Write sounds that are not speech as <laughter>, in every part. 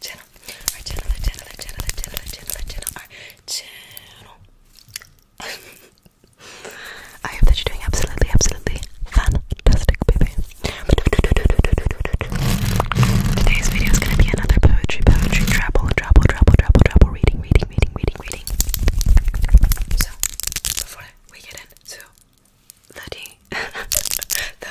channel, our channel, our channel, our channel, our channel, our channel, our channel, our channel. I hope that you're doing absolutely, absolutely fantastic, baby. Today's video is gonna be another poetry, poetry, travel, travel, travel, travel, travel, reading, reading, reading, reading, reading. So, before we get into <laughs> the, the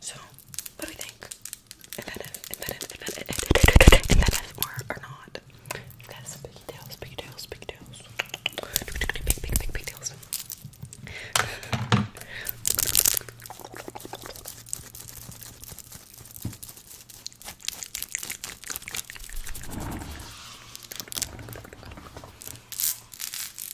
So, what do we think? Inventive, inventive, inventive, inventive, inventive or, or not? Guys, big tails, big tails, big tails. Big, big, big, big tails.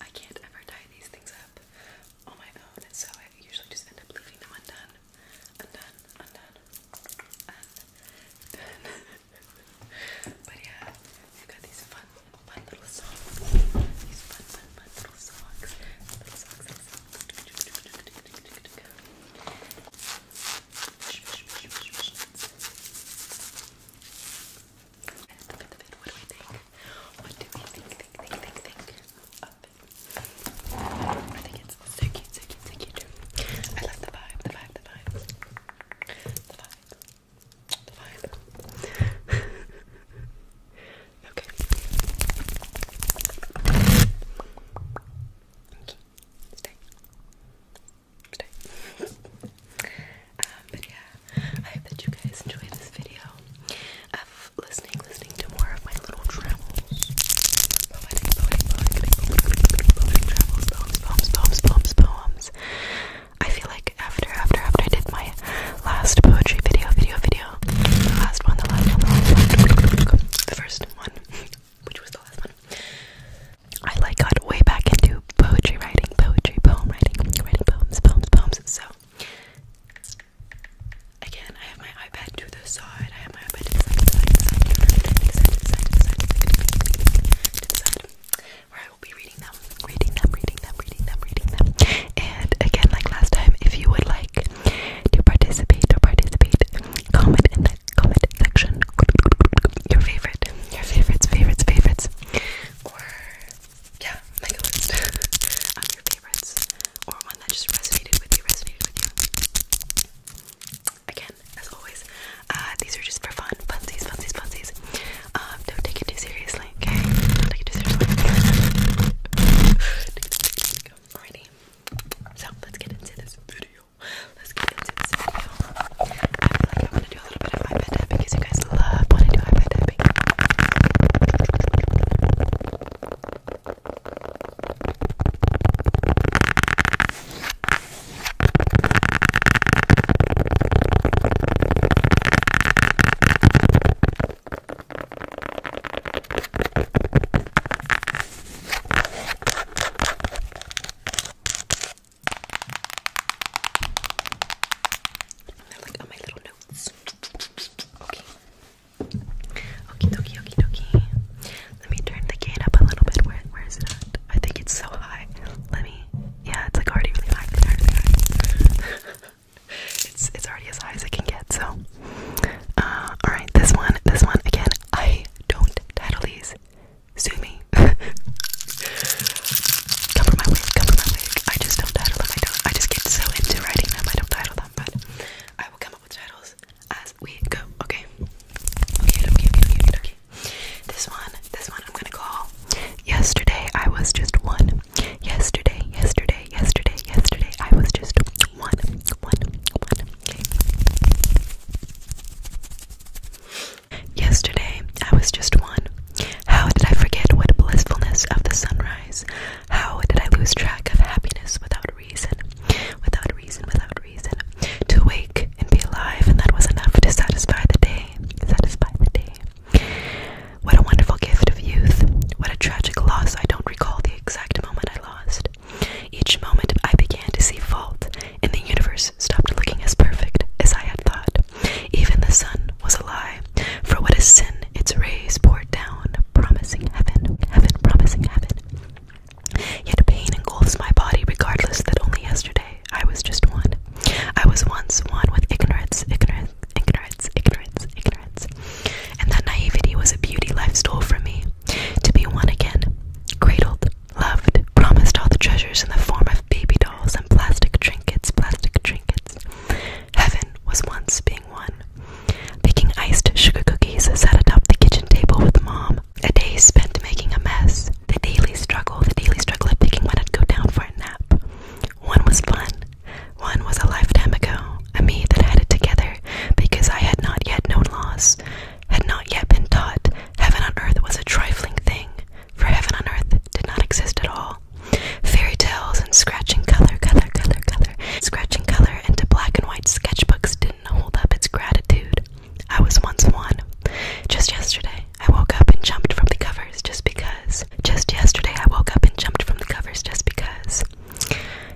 I can't ever tie these things up on my own, so I usually just end up leaving them undone, undone, undone, undone. <laughs> but yeah, we got these fun, fun little socks. These fun, fun, fun little socks. What do we think? What do we think? Think, think, think, think. Up. I think it's so cute, so cute, so cute. I love the vibe, the vibe, the vibe. The vibe. The vibe. okay. Okay. Stay. Um, but yeah, I hope that you guys enjoyed this video of listening, listening to more of my little travels. poems, poems, poems, poems, poems. I feel like after, after, after I did my last poetry video, video, video, the last one, the last one, the first one, which was the last one. I like got way back into poetry writing, poetry, poem writing, writing poems, poems, poems. So again, I have my iPad to the side. I have my iPad to the side, to the side, to the side, to side, side, side, side, side, where I will be reading them, reading them, reading them, reading them, reading them. And again, like last time, if you would like to participate or participate, comment in the comment section your favorite, your favorites, favorites, favorites, or yeah, make a list <laughs> of your favorites, or one that just resonated with you, resonated with you. Again, as always, uh, these are just for fun, funsies, funsies, funsies. Um, don't take it too seriously, okay? take it too seriously. <laughs> Alrighty, so let's get into this video let's get into this video. I feel like I want to do a little bit of eye bed because you guys love when I do eye bed they're like on my little notes. Okay. Okie dokie, okie Let me turn the gain up a little bit. Where, where is it at? I think it's so high. Let me. Yeah, it's like already really high. It's <laughs> it's it's already as high as it can get. So, uh, all right. This one, this one again. I don't title these. Sue <laughs> cover my wig, cover my wig. I just don't title them. I don't. I just get so into writing them. I don't title them, but I will come up with titles as we go. Okay. Okay. Okay. Okay. Okay. okay. This one. This one. I'm gonna call. Yesterday I was just one. Yesterday. Yesterday. Yesterday. Yesterday I was just one. Yesterday, I was just one. How did I forget what blissfulness of the sunrise? How did I lose track of happiness without reason? Without reason, without reason. To wake and be alive, and that was enough to satisfy the day. Satisfy the day. What a wonderful gift of youth. What a tragic loss. I don't recall the exact moment I lost. Each moment I began to see fault, and the universe stopped looking as perfect as I had thought. Even the sun was a lie, for what a sin? Its rays poured down, promising heaven, heaven, promising heaven. Yet a pain engulfs my body, regardless that only yesterday I was just one. I was once one with ignorance, ignorance, ignorance, ignorance, ignorance. And that naivety was a beauty life stole from me. To be one again, cradled, loved, promised all the treasures in the form of baby dolls and plastic trinkets, plastic trinkets. Heaven was once being won. Baking iced sugar cookies sat atop the kitchen table with mom. A day spent making a mess. The daily struggle, the daily struggle of picking when I'd go down for a nap. One was fun. One was a lifetime ago. A me that had it together because I had not yet known loss, had not yet been taught heaven on earth was a trifling thing for heaven on earth did not exist at all. Fairy tales and scratching color, color, color, color, scratching color into black and white sketchbooks didn't hold up its gratitude. I was once one. Just yesterday, I woke up and jumped from the covers just because. Just yesterday, I woke up and jumped from the covers just because.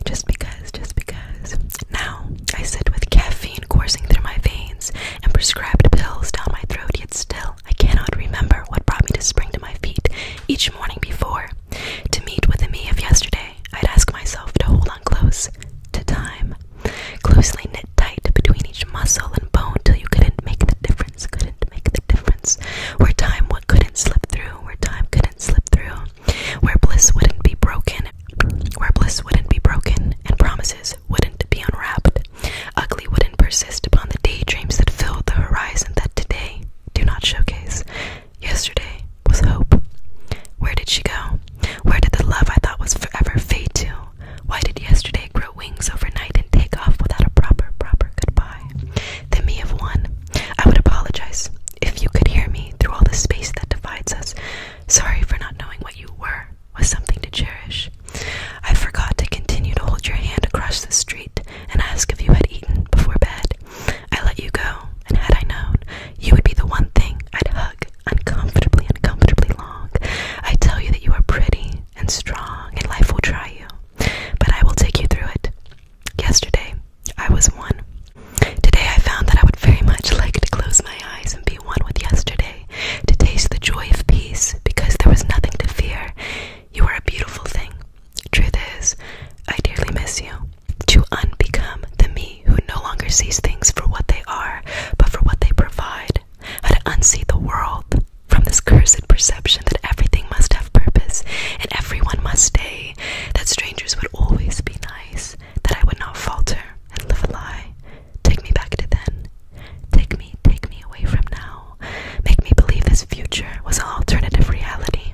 Just because, just because. Now, I sit with caffeine coursing through my veins and prescribed pills down my throat, yet still I cannot remember what brought me to spring to my feet each morning before. To meet with the me of yesterday, I'd ask myself to hold on close to time, closely knit tight between each muscle and bone till you couldn't make the difference, couldn't make the difference. Where time would couldn't slip through, where time couldn't slip through, where bliss wouldn't be broken, where bliss wouldn't be broken, and promises wouldn't be unwrapped. Ugly wouldn't persist upon the daydreams that filled the horizon that today do not showcase. Yesterday was hope. Where did she go? Where did the love I thought was forever fade to? Why did yesterday grow wings overnight and take off without a proper, proper goodbye? The me of one. I would apologize if you could hear me through all the space that divides us. Sorry for not knowing what you were was something to cherish. I forgot to continue to hold your hand across the street and ask if you had eaten before bed. I let you go, and had I known, you would be the one thing I'd hug uncomfortably, uncomfortably long. I tell you that you are pretty and strong, and life will try you, but I will take you through it. Yesterday, I was one. Today, I found that I would very much like to close my eyes and be one with yesterday to taste the joy of peace, because there was nothing to fear. You are a beautiful thing. Truth is, I dearly miss you. To unbecome the me who no longer sees things for what they are, but for what they provide. How to unsee the world from this cursed perception that everything must have purpose and everyone must stay, that strangers would always be nice, that I would not falter and live a lie, Take me back to then. Take me, take me away from now. Make me believe this future was an alternative reality.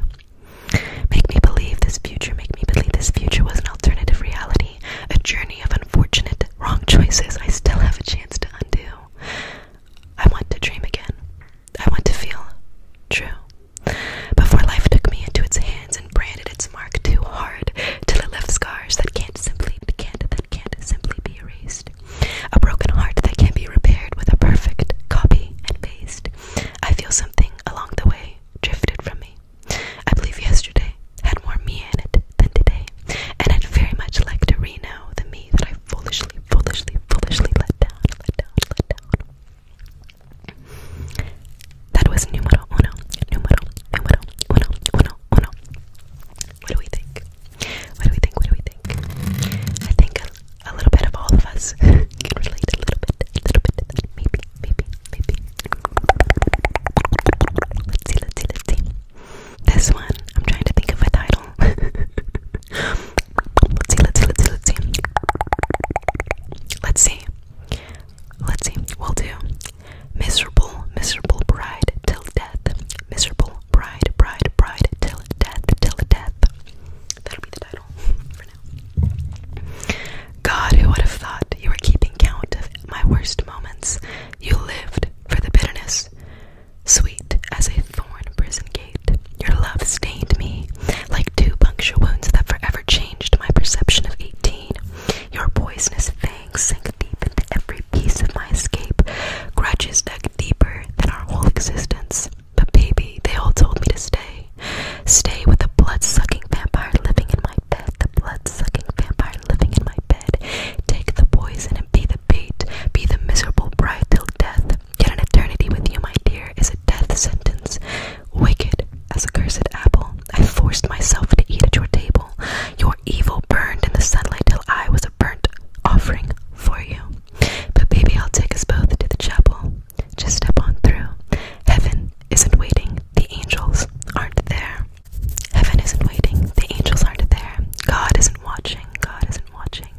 Make me believe this future, make me believe this future was an alternative reality. A journey of unfortunate wrong choices I still have a chance to undo. I want to dream again. I want to feel true. Before life took me into its hands and branded its mark too hard till it scars that can't simply can that can't simply be erased, a broken heart that can be repaired with a perfect copy and paste. I feel something along the way drifted from me. I believe yesterday had more me in it than today, and I'd very much like to re-know the me that I foolishly, foolishly, foolishly let down, let down, let down. That was numero uno, numero, numero, uno, uno, uno. What do we think? What do we think? What do we think? I think a, little bit of all of us <laughs> can relate a little bit, a little bit Maybe, maybe, maybe. Let's see, let's see, let's see. This one, I'm trying to think of a title. <laughs> let's see, let's see, let's see, let's see. Let's see. Let's see. We'll do miserable, miserable bride till death. Miserable bride, bride, bride, till death, till death. That'll be the title for now. God, who would have thought you were keeping count of my worst moments? You lived for the bitterness. Sweet as a thorn prison gate, your love stained me like two puncture wounds that forever changed my perception of eighteen. Your poisonous fangs sank deep into every piece of my escape, grudges dug deeper than our whole existence. But baby, they all told me to stay. Stay with the blood-sucking vampire living in my bed, the blood-sucking vampire living in my bed. Take the poison and be the bait, be the miserable bride till death. Get an eternity with you, my dear, is a death sentence. Wicked as a cursed apple, I forced myself to eat at your table. Your evil burned in the sunlight till I was burnt offering for you. But baby, I'll take us both to the chapel. Just step on through. Heaven isn't waiting, the angels aren't there. Heaven isn't waiting, the angels aren't there. God isn't watching, God isn't watching.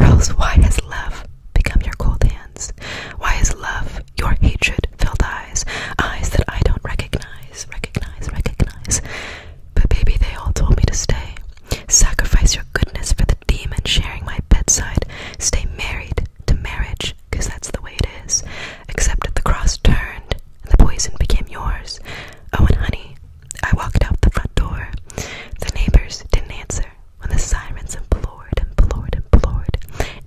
Or else, why has love become your cold hands? Why is love your hatred filled eyes? Eyes that I don't recognize, recognize, recognize. But baby, they all told me to stay. Sacrifice your goodness for the demon sharing my bedside. Stay married to marriage, because that's the way it is. Except at the cross turned, and the poison became yours. Oh, and honey, I walked out the front door. The neighbors didn't answer when the sirens implored, implored, implored,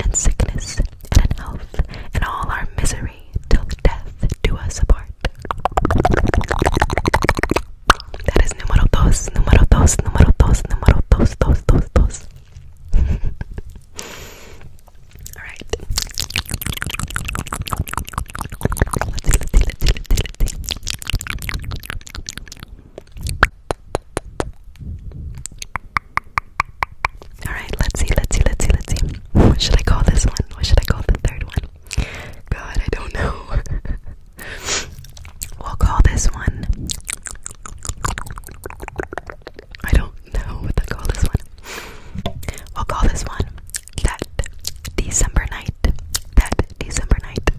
and sickness and in health and all our misery till death do us apart. That is número dos, número dos, número dos, número dos, dos, dos, dos. All <laughs> All right, let's see, let's see, let's see, let's see. What should I call this one? What should I call the third one? God, I don't know. <laughs> we'll call this one. I don't know what to call this one. We'll call this one that December night. That December night.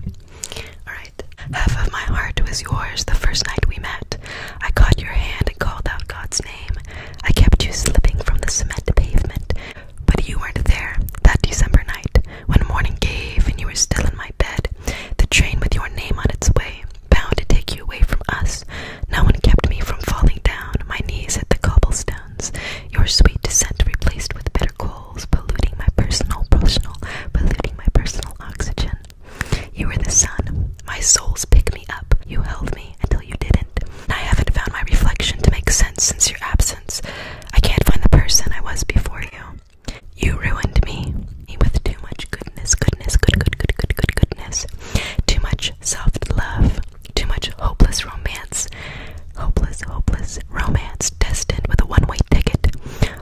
Alright. Half of my heart was yours the first night we met. I caught your hand and called out God's name. I kept you slipping from the cement pavement. But you weren't there that December night. When morning gave and you were still in my bed, the train with your name on its way, bound to take you away from us. No one kept me from falling down. My knees at the cobblestones. Your sweet descent replaced with bitter coals, polluting my personal, personal, polluting my personal oxygen. You were the sun. My souls picked me up. You held me until you didn't. I haven't found my reflection to make sense since your absence. I can't find the person I was before you. You ruined me with too much goodness, goodness, good, good, good, good, goodness. Too much soft love, too much hopeless romance, hopeless, hopeless romance, destined with a one-way ticket.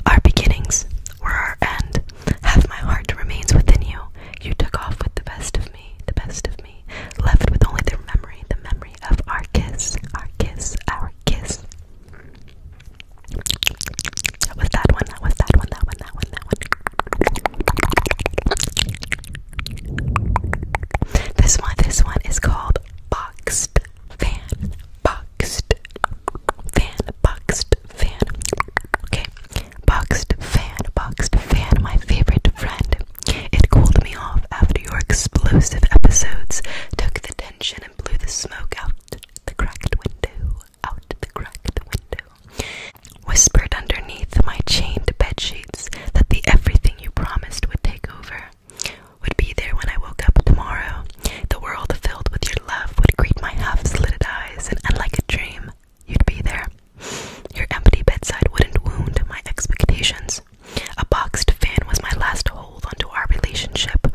Our beginnings were our end. Half my heart remains within you. You took off with the best of me, the best of me, left with only the memory, the memory of our kiss, our kiss, our kiss. That was that one, that was that one, that one, that one, that one. This one, this one is called Boxed Fan. Boxed Fan, Boxed Fan. Okay, Boxed Fan, Boxed Fan, my favorite friend. It cooled me off after your explosive episodes took the tension and blew the smoke out the cracked window. Out the cracked window. Whispered underneath my chained bed sheets that the everything you promised would take over. Would be there when I woke up tomorrow. The world filled with your love would greet my half slitted eyes, and unlike a dream, you'd be there. Your empty bedside wouldn't wound my expectations. A boxed fan was my last hold onto our relationship,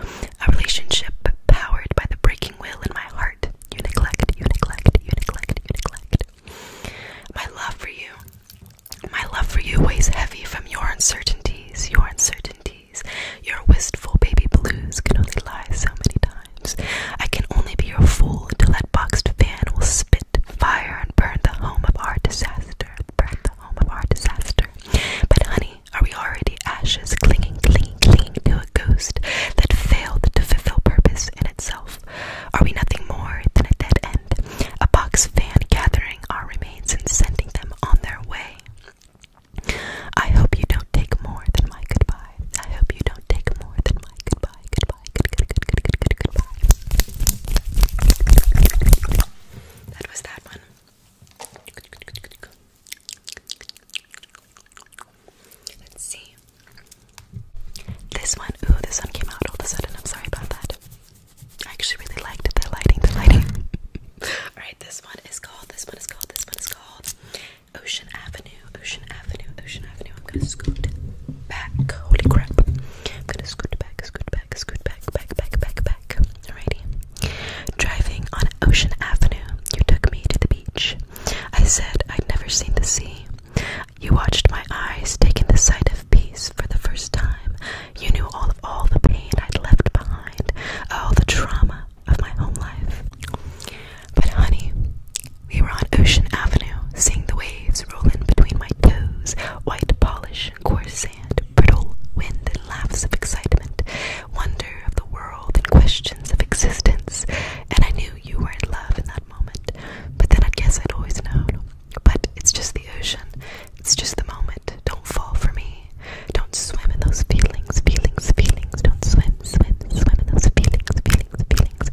a relationship powered by the breaking will in my heart. You neglect, you neglect, you neglect, you neglect. My love for you, my love for you weighs heavy from your uncertainties, your uncertainties. Your wistful baby blues can only lie so many times. I can only be your fool until that boxed fan will spit fire and burn the home of our disaster home of our disaster. But, honey, are we already ashes clinging, clinging, clinging to a ghost that failed to fulfill purpose in itself? Are we nothing more than a dead end, a box fan gathering our remains and sending them on their way? I hope you don't take more than my goodbye. I hope you don't take more than my goodbye. Goodbye. Good, good, good, goodbye that was that one. Let's see. This one, ooh, this one came out all of a sudden. I'm sorry about that. I actually really liked the lighting, the lighting. <laughs> Alright, this one is called, this one is called, this one is called Ocean Avenue, Ocean Avenue, Ocean Avenue. I'm gonna scoot back. Holy crap. I'm gonna scoot back, scoot back, scoot back, back, back, back, back. Alrighty. Driving on Ocean Avenue, you took me to the beach. I said I'd never seen the sea. You watched my eyes, taking the sight of peace for the first time. You knew all of all the pain I'd left behind, all the trauma of my home life. But honey, we were on Ocean Avenue, seeing the waves roll in between my toes, white polish coarse sand, brittle wind, and laughs of excitement, wonder of the world, and questions of existence. And I knew you were in love in that moment, but then I guess I'd always know. But it's just the ocean, it's just the moment. Don't fall for me. Don't swim in those feelings, feelings, feelings. Don't swim, swim, swim in those feelings, feelings, feelings.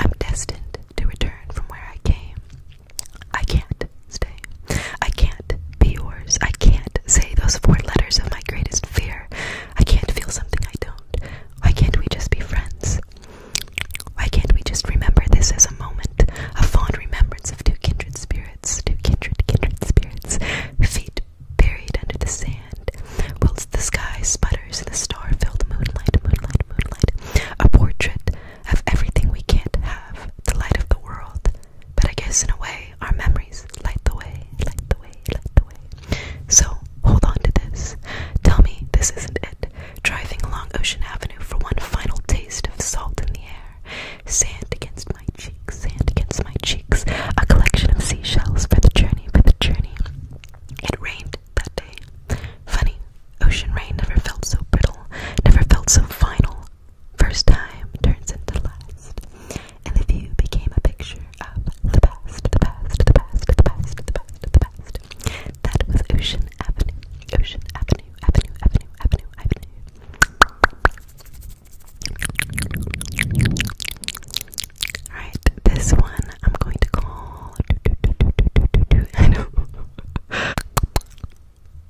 I'm destined to return from where I came. I can't stay. I can't be yours. I can't say those four letters of my greatest fear. I can't feel something I don't. Why can't we just be friends? Why can't we just remember this as a moment, a fond remembrance of two kindred spirits, two kindred, kindred spirits, feet buried under the sand, whilst the sky sputters in the star filled moonlight, moonlight, moonlight, a portrait have everything we can't have, the light of the world. But I guess in a way, our memories light the way, light the way, light the way. So hold on to this. Tell me this isn't it. Driving along Ocean Avenue for one final taste of salt in the air. Sand against my cheeks, sand against my cheeks. A collection of seashells for the journey, for the journey. It rained that day. Funny, ocean rain never felt so brittle, never felt so final. First time turns into last, and the view became a picture of the past, the past, the past, the past, the past, the past. That was Ocean Avenue, Ocean Avenue, Avenue, Avenue, Avenue, Avenue. Alright, this one I'm going to call. <laughs> I know.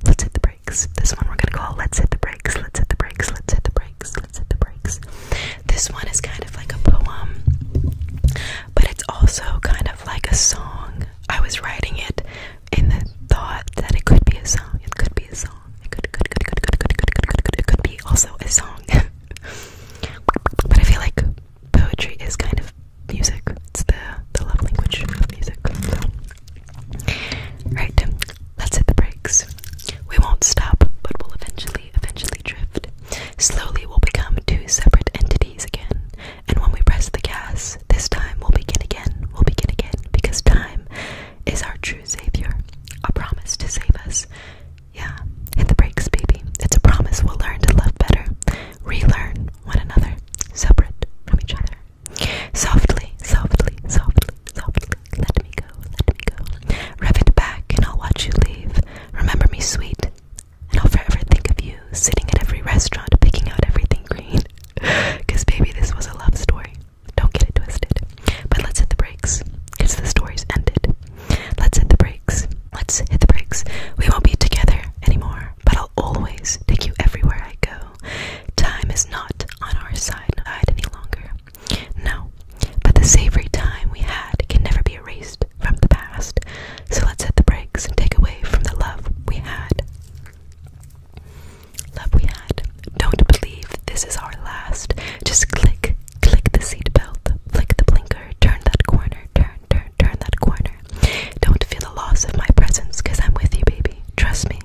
Let's hit the brakes. This one we're gonna call Let's Hit the Brakes, Let's Hit the Brakes, Let's Hit the Brakes, Let's Hit the Brakes. This one is kind of like a poem, but it's also kind of like a song. I was writing it in the thought that it could be a song. It could be a song. It could could could could could could could could could be also a song. but I feel like poetry is kind of music. It's the the love language of music. Right, let's hit the brakes. We won't stop, but we'll eventually, eventually drift. Slowly, we'll become two separate entities again. And when we press the gas, this time we'll begin again, we'll begin again, because time is our true savior, a promise to save us. Yeah, hit the brakes, baby. It's a promise we'll learn to love better, relearn one another, separate from each other. Softly, softly, softly, softly, let me go, let me go. Rev it back and I'll watch you leave. Remember me, sweet, and I'll forever think of you sitting at every restaurant picking out everything green. <laughs> Cause baby, this was a love story. Don't get it twisted. But let's hit the brakes, cause the story's ended. Let's hit the brakes. Let's hit the brakes. We won't be together anymore, but I'll always take you everywhere I go. Time is not on our side any longer. No, but the savory time we had can never be erased from the past. So let's hit the brakes and take away from the love we had. Love we had. Don't believe this is our last. Just click, click the seatbelt, flick the blinker, turn that corner, turn, turn, turn that corner. Don't feel the loss of my presence I'm with you, baby. Trust me.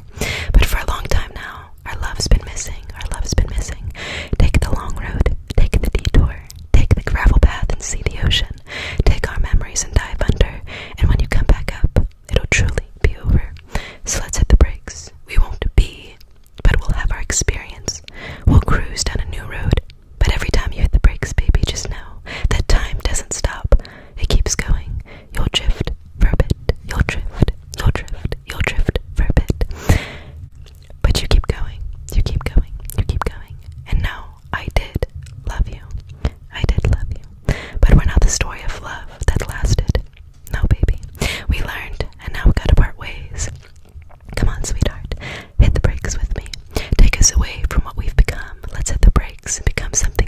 But for a long time now, our love's been missing. Our love's been missing. Take the long road, take the detour, take the gravel path and see the ocean. Take our memories and dive under. And when you come back up, it'll truly be over. So let's hit the brakes. We won't be, but we'll have our experience. We'll cruise down a new road. But every time you hit the brakes, baby, just know that time doesn't stop. It keeps going. You'll drift for a bit. You'll drift. You'll drift. You'll drift for a bit. But you keep going. You keep going. You keep going. And now I did love you. I did love you. But we're not the story of love that lasted. No, baby. We learned, and now we gotta part ways. Come on, sweetheart. Hit the brakes with me. Take us away from what we've become. Let's hit the brakes and become something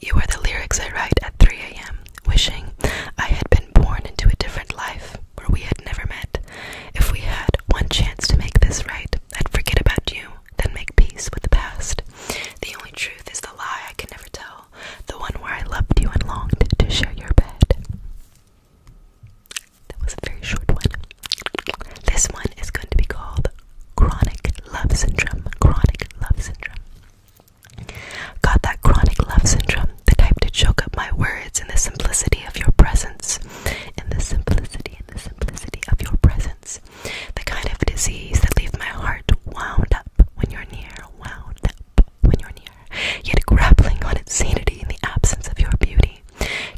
You are the lyrics I write at 3 a.m., wishing I had been born into a different life where we had never met. If we had one chance to make this right, I'd forget about you, then make peace with the past. The only truth is the lie I can never tell, the one where I loved you and longed to share your bed. That was a very short one. This one is going to be called Chronic Love Syndrome. Chronic Love Syndrome. Got that chronic love syndrome, the type to choke up my words in the simplicity of your presence. In the simplicity, in the simplicity of your presence. The kind of disease that leaves my heart wound up when you're near, wound up when you're near, yet grappling on its sanity in the absence of your beauty.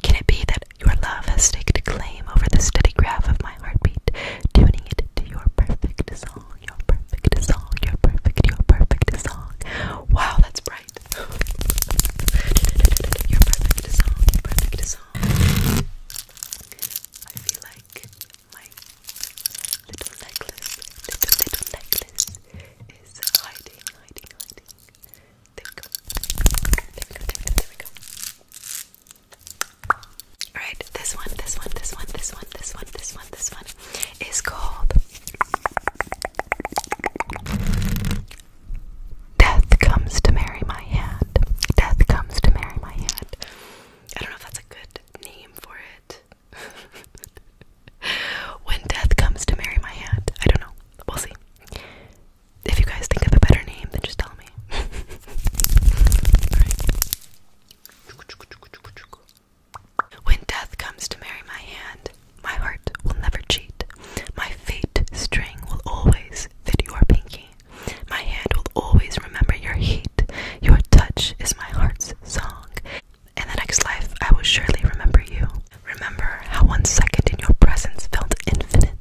Can it be that your love has staked claim over the steady graph of my heartbeat, tuning it to your perfect song, your perfect song, your perfect, your perfect song. Wow, that's bright. <gasps> your perfect song, perfect song. I feel like my little necklace, little, little necklace is hiding, hiding, hiding. There we go, there we go, there we go. Alright, this one, this one, this one, this one, this one, this one, this one is called Death Comes to Marry My Hand. Death Comes to Marry My Hand. I don't know if that's a good name for it. <laughs> when Death Comes to Marry My Hand. I don't know. We'll see if you guys think of a better name, then just tell me. When death comes to marry my hand, my heart will never cheat. My fate string will always fit your pinky. My hand will always remember your heat. Your touch is my heart's song. In the next life, I will surely remember you. Remember how one second in your presence felt infinite,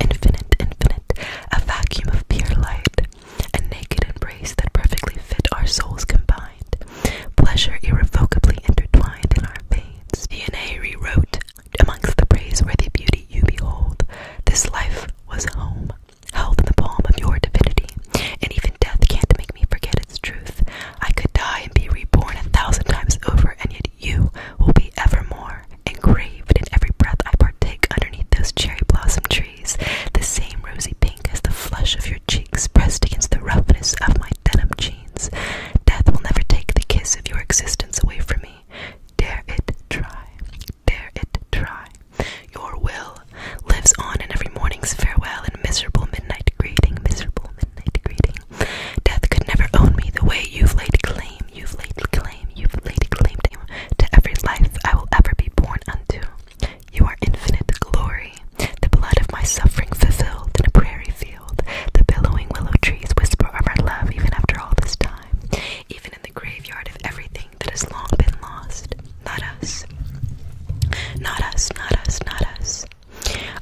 infinite, infinite a vacuum of pure light, a naked embrace that perfectly fit our souls combined, pleasure irrevocably intertwined in our veins. DNA rewrote amongst the praiseworthy beauty you behold. This life was home, held in the palm of your divinity, and even death can't make me forget its truth. I could die and be reborn a thousand times over, and yet you will be evermore. Engraved in every breath I partake underneath those cherry blossom trees, the same rosy pink as the flush of your cheeks pressed against the roughness of my denim jeans. Death will never take the kiss of your existence away from me. Dare it try, dare it try. Your will lives on in every morning's farewell and miserable midnight greeting, miserable midnight greeting. Death could never own me the way you've laid claim, you've laid claim you've laid claim to every life I will ever be born unto. You are infinite glory, the blood of my suffering fulfilled in a prairie field. The billowing willow trees whisper of our love even after all this time, even in the graveyard of everything that has long been lost. Not us. Not us, not us, not us.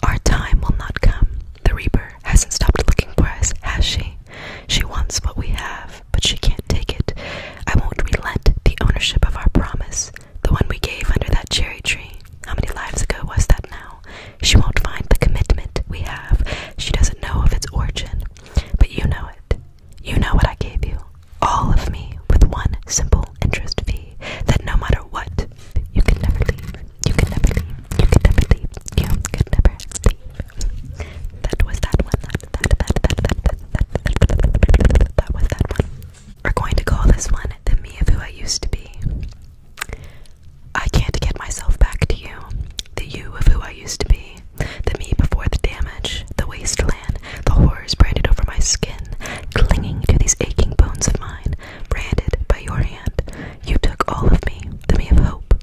Our time will not come. The Reaper hasn't stopped looking for us, has she? She wants what we have but she can't take it. I won't relent the ownership of our promise, the one we gave under that cherry tree. How many lives ago was that now? She won't find the commitment we have. She doesn't know of its origin, but you know it. You know what I gave you. All of me with one simple interest fee that no matter what, you can never leave. You can never leave. You can never leave. You can never leave. That was that one. That was that one. We're going to call this one the me of who I used to be. I can't get myself back to you. The you of who I used to be. The me before the damage, the wasteland, the horrors branded over my skin, clinging to these aching bones of mine, branded by your hand. You took all of me, the me of hope,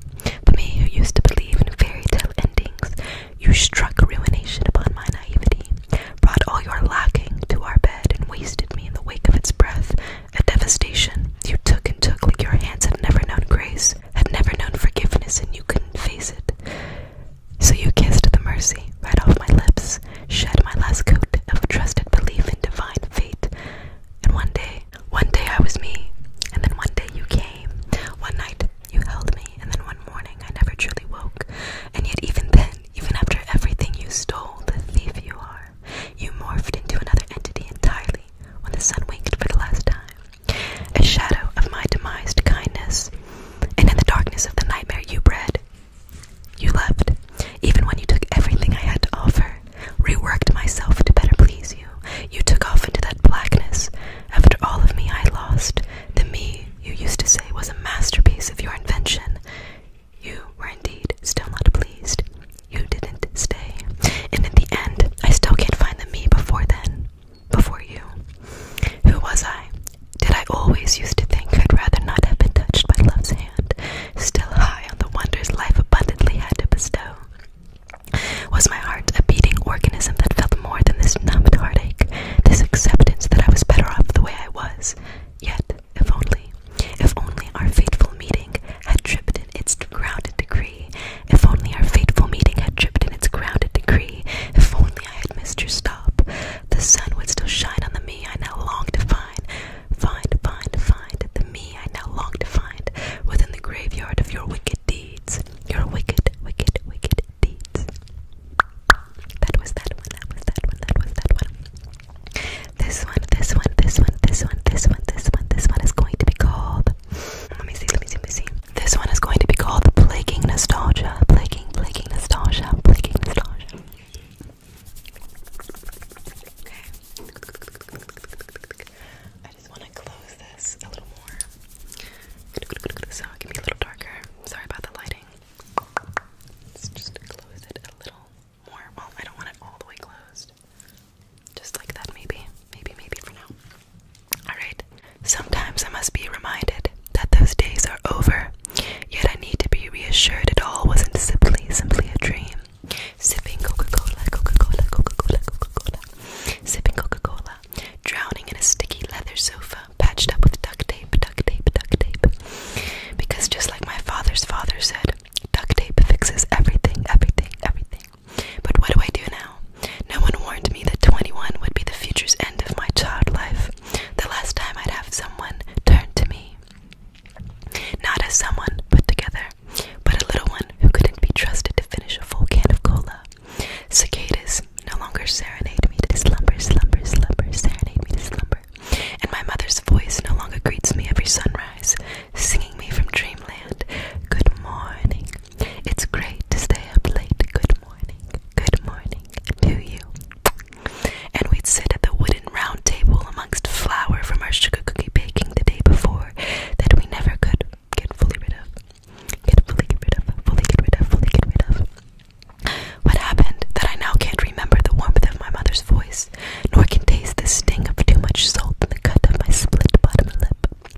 the me who used to believe in fairy tale endings, you struck ruination upon my naivety, brought all your lacking to our bed, and wasted me in the wake of its breath. A devastation you took and took like your hands had never known grace, had never known forgiveness, and you couldn't face it. So you kissed the mercy right off my lips, shed my last coat of trusted belief in divine fate. And one day, one day I was me, and then one day you came. One night you held me, and then one morning I never truly woke. And yet, even then, even after everything you stole, the thief you are, you morphed into another entity entirely when the sun winked for the last time. A shadow of my demised kindness, and in the darkness of the nightmare you bred, you loved, even when you took everything I had to offer, reworked myself to better please you you. took off into that blackness. After all of me I lost, the me you used to say was a masterpiece of your invention. You were indeed still not pleased. You didn't stay. And in the end, I still can't find the me before then, before you. Who was I? Did I always used to think I'd rather not have been touched by love's hand, still high on the wonders life abundantly had to bestow? Was my heart a beating organism that felt more than this numbed heartache, this acceptance that I was better off the way I was? Yet, if only, if only our fateful meeting had tripped in its grounded decree, if only our fateful meeting had tripped in its grounded decree, if only I had missed your stop, the sun would still shine on the me I now long to find. Find, find, find the me I now long to find within the graveyard of your wicked deeds. Your wicked, wicked, wicked deeds. That was that one, that was that one, that was that one. This one, this one, this one, this one, this one, this one, this one is going to be called. Let me see, let me see, let me see. This one is going to be called Plaguing Nostalgia. Plaguing, plaguing nostalgia, plaguing nostalgia. I just want to close this a little more so it can be a little darker. Sorry about the lighting. just close it a little more. Well, I don't want it all the way closed. Just like that, maybe. Maybe, maybe for now. Alright. Sometimes I must be reminded that those days are over. Yet I need to be reassured it all wasn't simply, simply a dream. Sipping Coca Cola, Coca Cola, Coca Cola, Coca Cola. Sipping Coca Cola, drowning in a sticky leather sofa patched up with duct tape, duct tape, duct tape. Because just like my father's father said, duct tape fixes everything, everything, everything. But what do I do now? No one warned me that 21 would be the future's end of my child life. The last time I'd have someone turn to me. Not as someone put together, but a little one who couldn't be trusted to finish a full can of cola. Cicadas no longer serenade me to slumber, slumber, slumber, serenade me to slumber. And my mother's voice no longer greets me every sunrise, singing me from dreamland, Good morning. It's great to stay up late. Good morning, good morning to you. And we'd sit at the wooden round table amongst flour from our sugar cookie baking the day before that we never could get fully rid of. Get fully get rid of, fully get rid of, fully get rid of. What happened that I now can't remember the warmth of my mother's voice, nor can taste the sting of too much salt in the cut of my split bottom lip.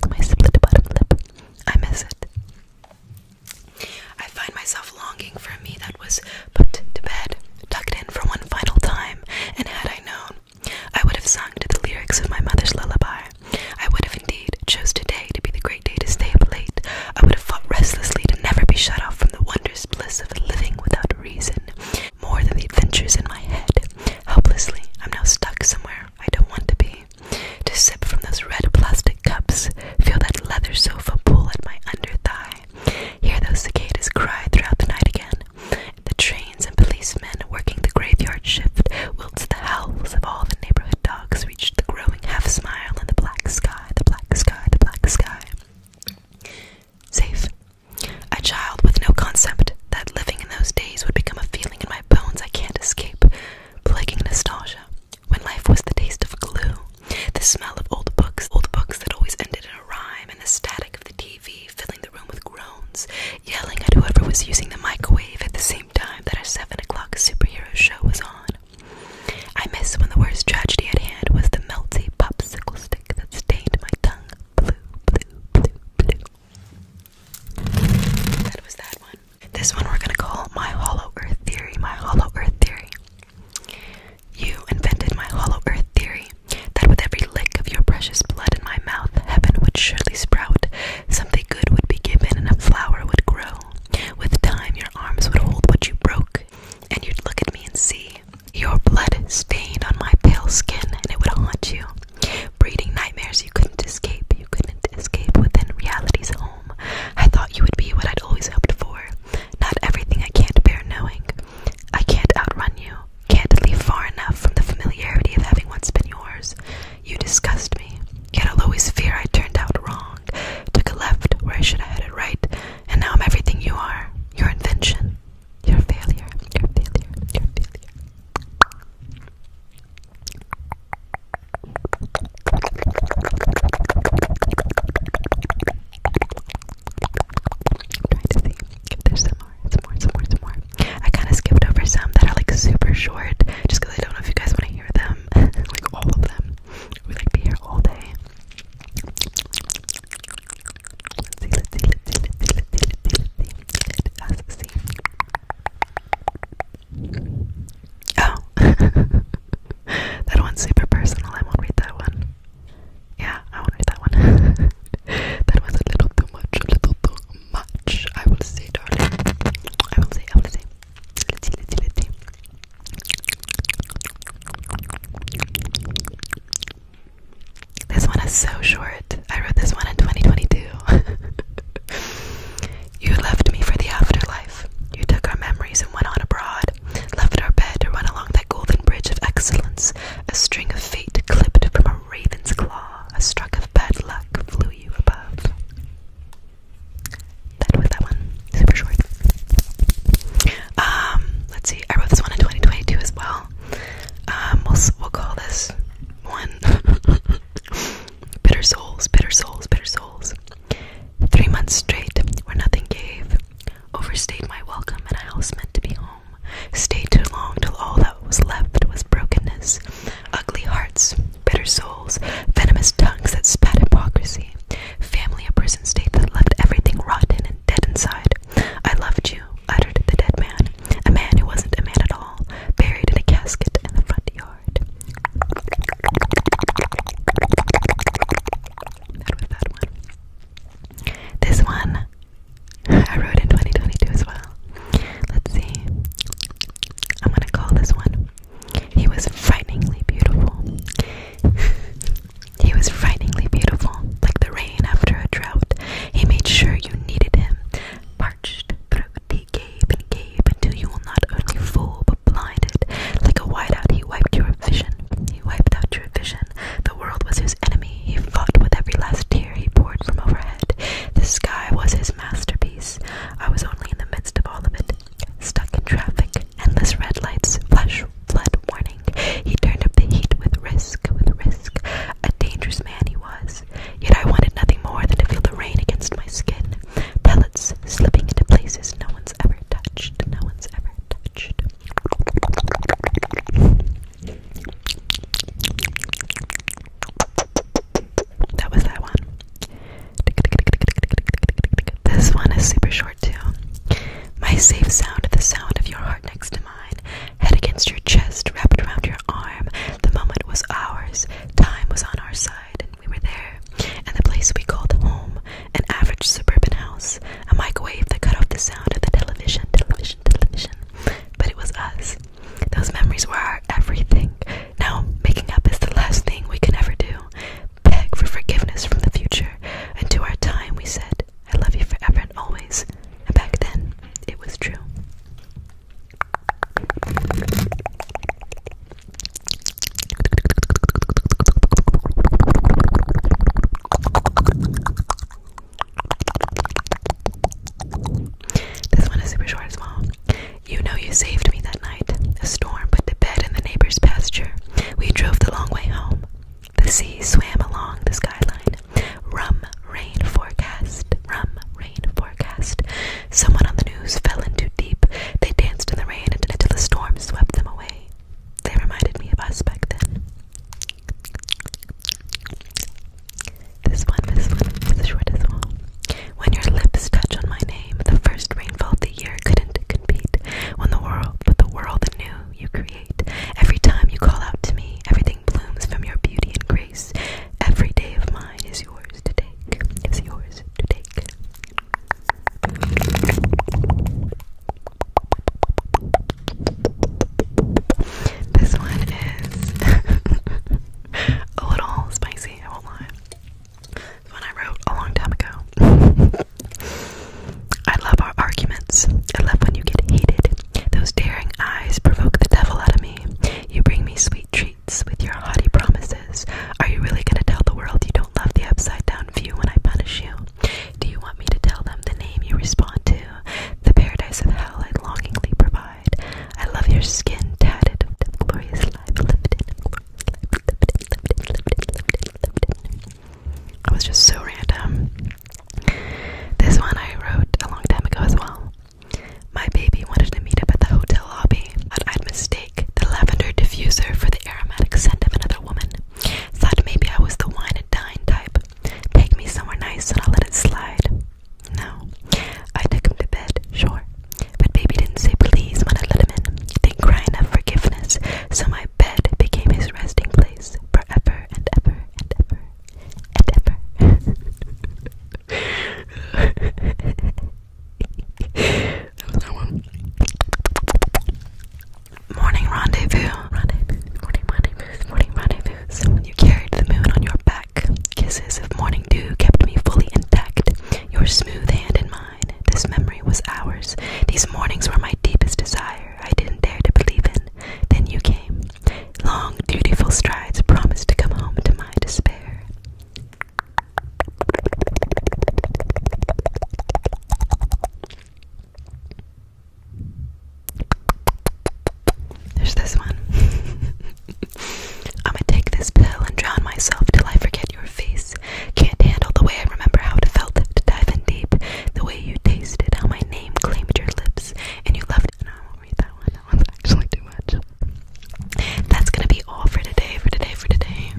My split bottom lip. I miss it. I find myself longing for a me that was put to bed, tucked in for one final time, and had I known, I would have sung to the lyrics of my mother's lullaby. I would have indeed chose today to be the great day to stay up late. I would have fought restlessly to never be shut off from the wondrous bliss of living without reason, more than the adventures in my head. Helplessly, I'm now stuck somewhere I don't want to be. To sip from those red plastic cups, feel that leather sofa pull at my under thigh, hear those cicadas cry throughout the night again. The trains and policemen working the graveyard shift, whilst the howls of all the neighborhood dogs the growing half smile in the black sky, the black sky, the black sky. Safe. A child with no concept that living in those days would become a feeling in my bones I can't escape, plaguing nostalgia. When life was the taste of glue, the smell of old books, old books that always ended in a rhyme, and the static of the TV filling the room with groans, yelling at whoever was using the microwave at the same time that a 7 o'clock superhero show was on. I miss when the worst tragedy at hand was the melty popsicle stick that stained my tongue blue, blue, blue, blue. That was that one. This one we're gonna call My Hollow Earth Theory, My Hollow Earth Theory. You invented my Hollow Earth Theory that with every lick of your precious blood in my mouth, heaven would surely sprout, something good would be given, and a flower would grow. With time, your arms would hold what you broke, and you'd look at me and see your blood stained on my pale skin, and it would haunt you, breeding nightmares you couldn't escape. You couldn't escape within reality's home. I thought you would be what I'd always hoped for. Not everything I can't bear knowing. I can't outrun you. Can't leave far enough from the familiarity of having once been yours. You disgust me. Yet I'll always fear I turned out wrong, took a left where I should have headed right, and now I'm everything you are. Your invention. Your failure. Your failure. Your failure. trying to see if there's some more, more, more, more. I kind of skipped over some that are like super short just I don't know if you guys want to hear them. <laughs> like all of them. We'd be here all day. Oh, <laughs> that one's super personal. I won't read that one. Yeah, I won't read that one. <laughs> that was a little too much, a little too much. I will say, darling. I will say, I will say. This one is so short. I wrote this one in 2022. <laughs> you left me for the afterlife. You took our memories and went on abroad. Left our bed to run along that golden bridge of excellence. A string of fate clipped from a raven's claw. A stroke of bad luck flew you above. That was that one. Super short. Um, let's see. I wrote this one in 2022 as well. Um, we'll we'll call this one <laughs> bitter souls, bitter souls, bitter souls. Three months straight where nothing gave. Overstayed my welcome and a house meant to be home. Stayed too long till all that was left was brokenness. Ugly hearts, bitter souls, venomous tongues that spat hypocrisy, family a prison state that left everything rotten and dead inside. I loved you, uttered the dead man, a man who wasn't a man at all, buried in a casket in the front yard. This one I wrote in 2022 as well. Let's see. I'm gonna call this one he was frighteningly beautiful. <laughs> he was frighteningly beautiful, like the rain after a drought. He made sure you needed him. Parched throat, he gave and gave until you were not only fool but blinded. Like a whiteout, he wiped your vision. He wiped out your vision. The world was his enemy. He fought with every last tear he poured from overhead. The sky was his masterpiece. I was only in the midst of all of it, Stuck in traffic, endless red lights, flash flood warning. He turned up the heat with risk, with risk. A dangerous man he was. Yet I wanted nothing more than to feel the rain against my skin. Pellets slipping into places no one's ever touched. No one's ever touched. That was that one. This one is super short too. My safe sound, the sound of your heart next to mine, head against your chest, wrapped around your arm. The moment was ours, time was on our side, and we were there. And the place we called home, an average suburban house, a microwave that cut off the sound of the television, television, television. But it was us. Those memories were our everything. Now, making up is the last thing we can ever do. Beg for forgiveness from the future. And to our time, we said, I love you forever and always. And back then, it was true. This one is super short as well. You know you saved me that night. A storm put to bed in the neighbor's pasture. We drove the long way home. The sea swam along the skyline. Rum rain forecast. Rum rain forecast. Someone on the news fell into deep. They danced in the rain until the storm swept them away. They reminded me of us back then. This one, this one, this is the shortest when your lips touch on my name, the first rainfall of the year couldn't compete. When the world, with the world anew, you create, every time you call out to me, everything blooms from your beauty and grace. Every day of mine is yours to take. Is yours to take. This one is <laughs> a little spicy, I will it's I wrote a long time ago. I love our arguments. I love when you get hated. Those daring eyes provoke the devil out of me. You bring me sweet treats with your haughty promises. Are you really going to tell the world you don't love the upside down view when I punish you? Do you want me to tell them the name you respond to? The paradise of hell I longingly provide. I love your skin tatted, glorious life lifted, I was just so random. This one I wrote a long time ago as well. My baby wanted to meet up at the hotel lobby, but I'd mistake the lavender diffuser for the aromatic scent of another woman. Thought maybe I was the wine and dine type. Take me somewhere nice and I'll let it slide. No. I took him to bed, sure, but baby didn't say please when I let him in. forgiveness, so my bed became his resting place forever and ever and ever and ever. that was that one. Morning rendezvous. Morning rendezvous. Morning rendezvous. You carried the moon on your back. Kisses of morning dew kept me fully intact. Your smooth hand in mine. This memory was ours. These mornings were my deepest desire. I didn't dare to believe in. Then you came. Long, dutiful strides promised to come home to my despair. There's this one. <laughs> I'ma take this pill and drown myself till I forget your face. Can't handle the way I remember how it felt to dive in deep. The way you tasted, how my name claimed your lips, and you left. And I won't read that one. That one's actually too much. That's gonna be all for today, for today, for today.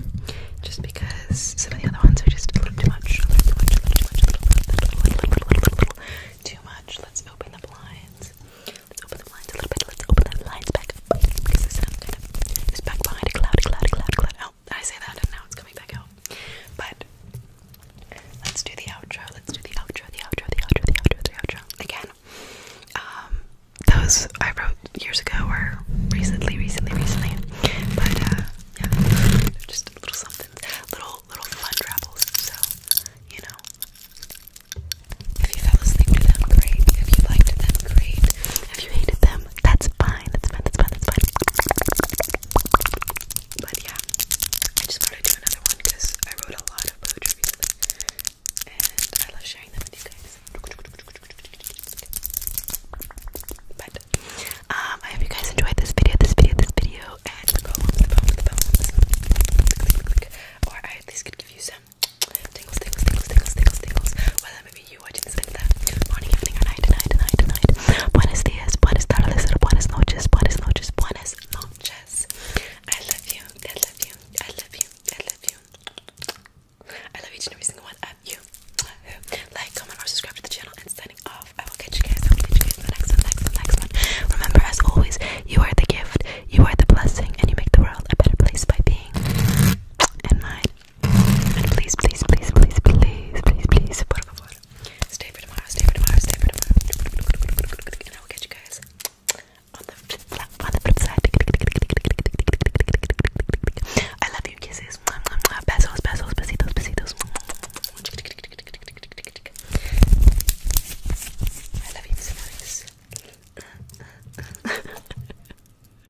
Just because some of the other ones are just a little too much. A little too much, a little too much, a little, little, little, too much. Let's open the blinds. Let's open the blinds a little bit. Let's open the blinds back because back behind a cloud, cloud, cloud, cloud. Oh, I say that and now it's coming back out. But let's do the outro. Let's do the outro, the outro, the outro, the outro, the outro. Again, um, those I wrote years ago or recently, recently, recently. But uh, yeah, they're just little something, little, little fun travels. So you know. If you fell asleep to them, great. If you liked them, great. If you hated them, that's but yeah, I just wanted to do another one because I wrote a lot of poetry and I love sharing them with you guys. But um, I hope you guys enjoyed this video, this video, this video, and Or at least could give you some time of you watching this video. Morning, evening, or night, night, night, night. Buenos dias, buenas tardes, buenas noches, buenas noches, buenas noches. I love you, I love you, I love you, I love you. I love each and every single one of you. Like, comment, or subscribe to the channel. And signing off, I will catch you guys. I will catch you guys in the next one, next one, next one. Remember, as always, you are the gift, you are the blessing, and you make the world a better place by being in mine. Please, please, please, please, please, please, please, por favor. Stay for tomorrow, stay for tomorrow, stay for tomorrow. And I will catch you guys on the flip flop, on the flip side. I love you, kisses. Besos, besos, besitos, besitos. I love you so much. <laughs> <laughs>